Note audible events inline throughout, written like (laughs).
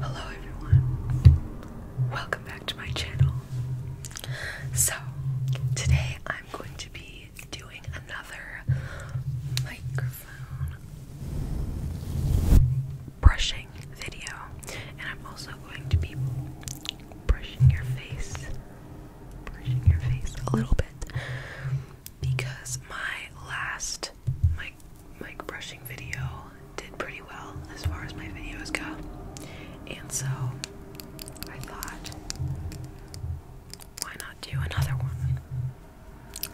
Hello everyone, welcome back to my channel. So, today I'm going to be doing another microphone brushing video, and I'm also going to be brushing your face, brushing your face a little bit because my last my brushing video did pretty well as far as my videos go. And so I thought, why not do another one?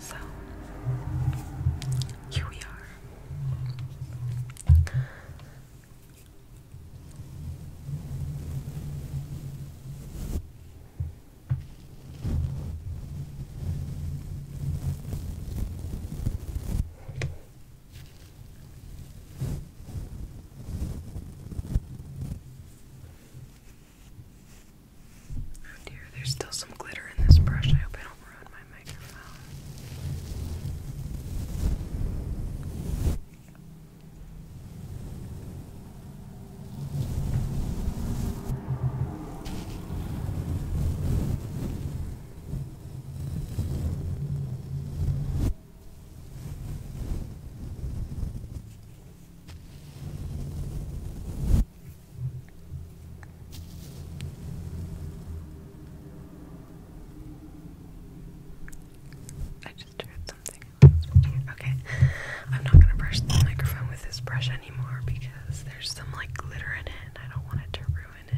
So here we are. Oh dear, there's still some glitter in this brush. I hope I don't ruin my microphone. I just heard something. Okay, I'm not gonna brush the microphone with this brush because there's some like glitter in it I don't want it to ruin it.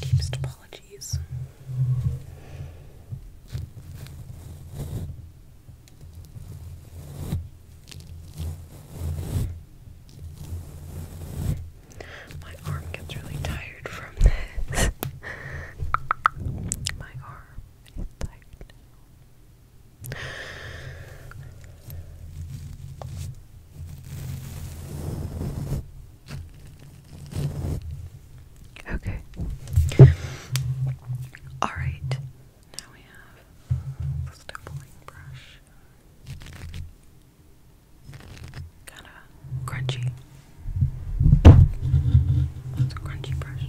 Deepest apologies. My arm gets really tired from this. (laughs) My arm is tired Okay. All right. Now we have the stippling brush. Kind of crunchy. That's a crunchy brush.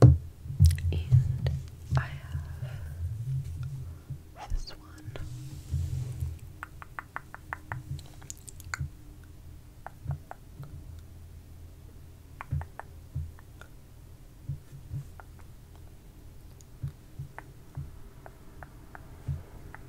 And I have this one.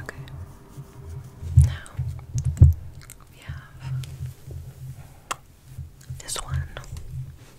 Okay. Now we have this one.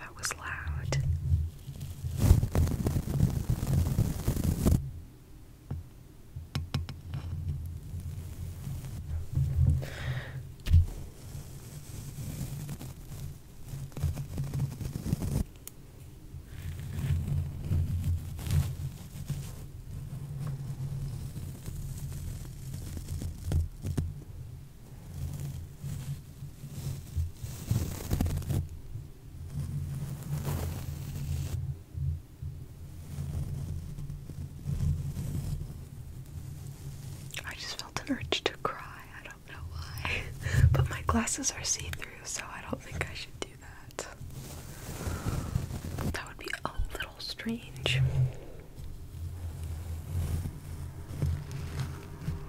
That was loud. I just felt an urge to cry. I don't know why. (laughs) but my glasses are see through, so I don't think I should do that. That would be a little strange.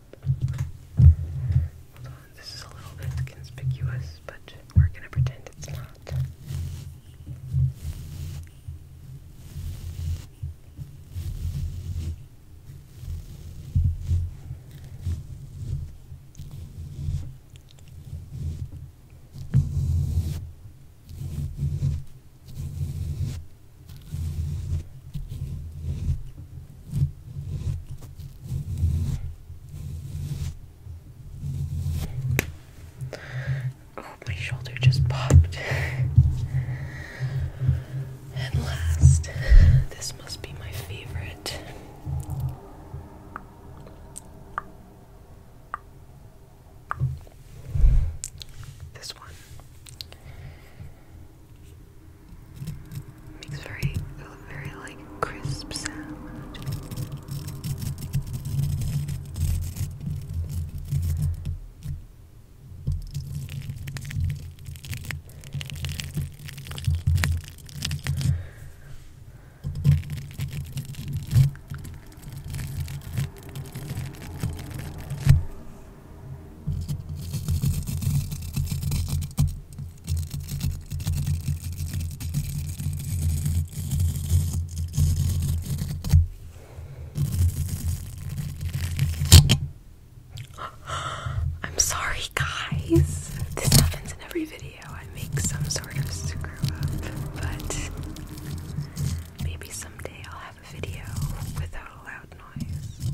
Hold on, this is a little bit conspicuous, but we're gonna pretend it's not. Oh, my shoulder just popped. and last, this must be my favorite. This one. Makes very, very like crisp sound. I'm sorry, guys. This happens in every video. I make some sort of screw up, but maybe someday I'll have video without a loud noise.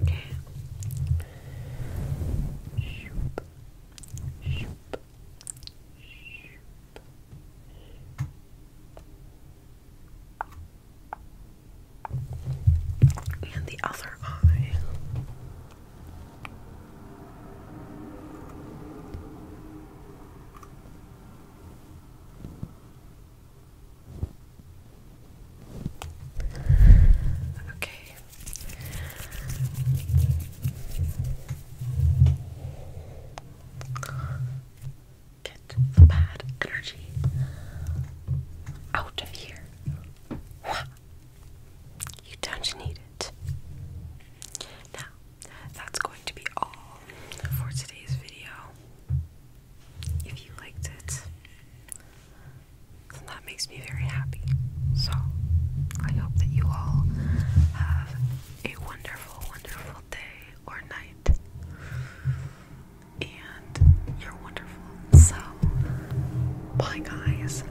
Okay. Shoop. Shoop. Shoop. And the other eye. Okay. Get the bad energy out of here. You don't need it. Now, that's going to be all for today's video. If you liked it, that makes me very happy. So, I hope that you all have a wonderful, wonderful day or night. And you're wonderful. So, bye, guys.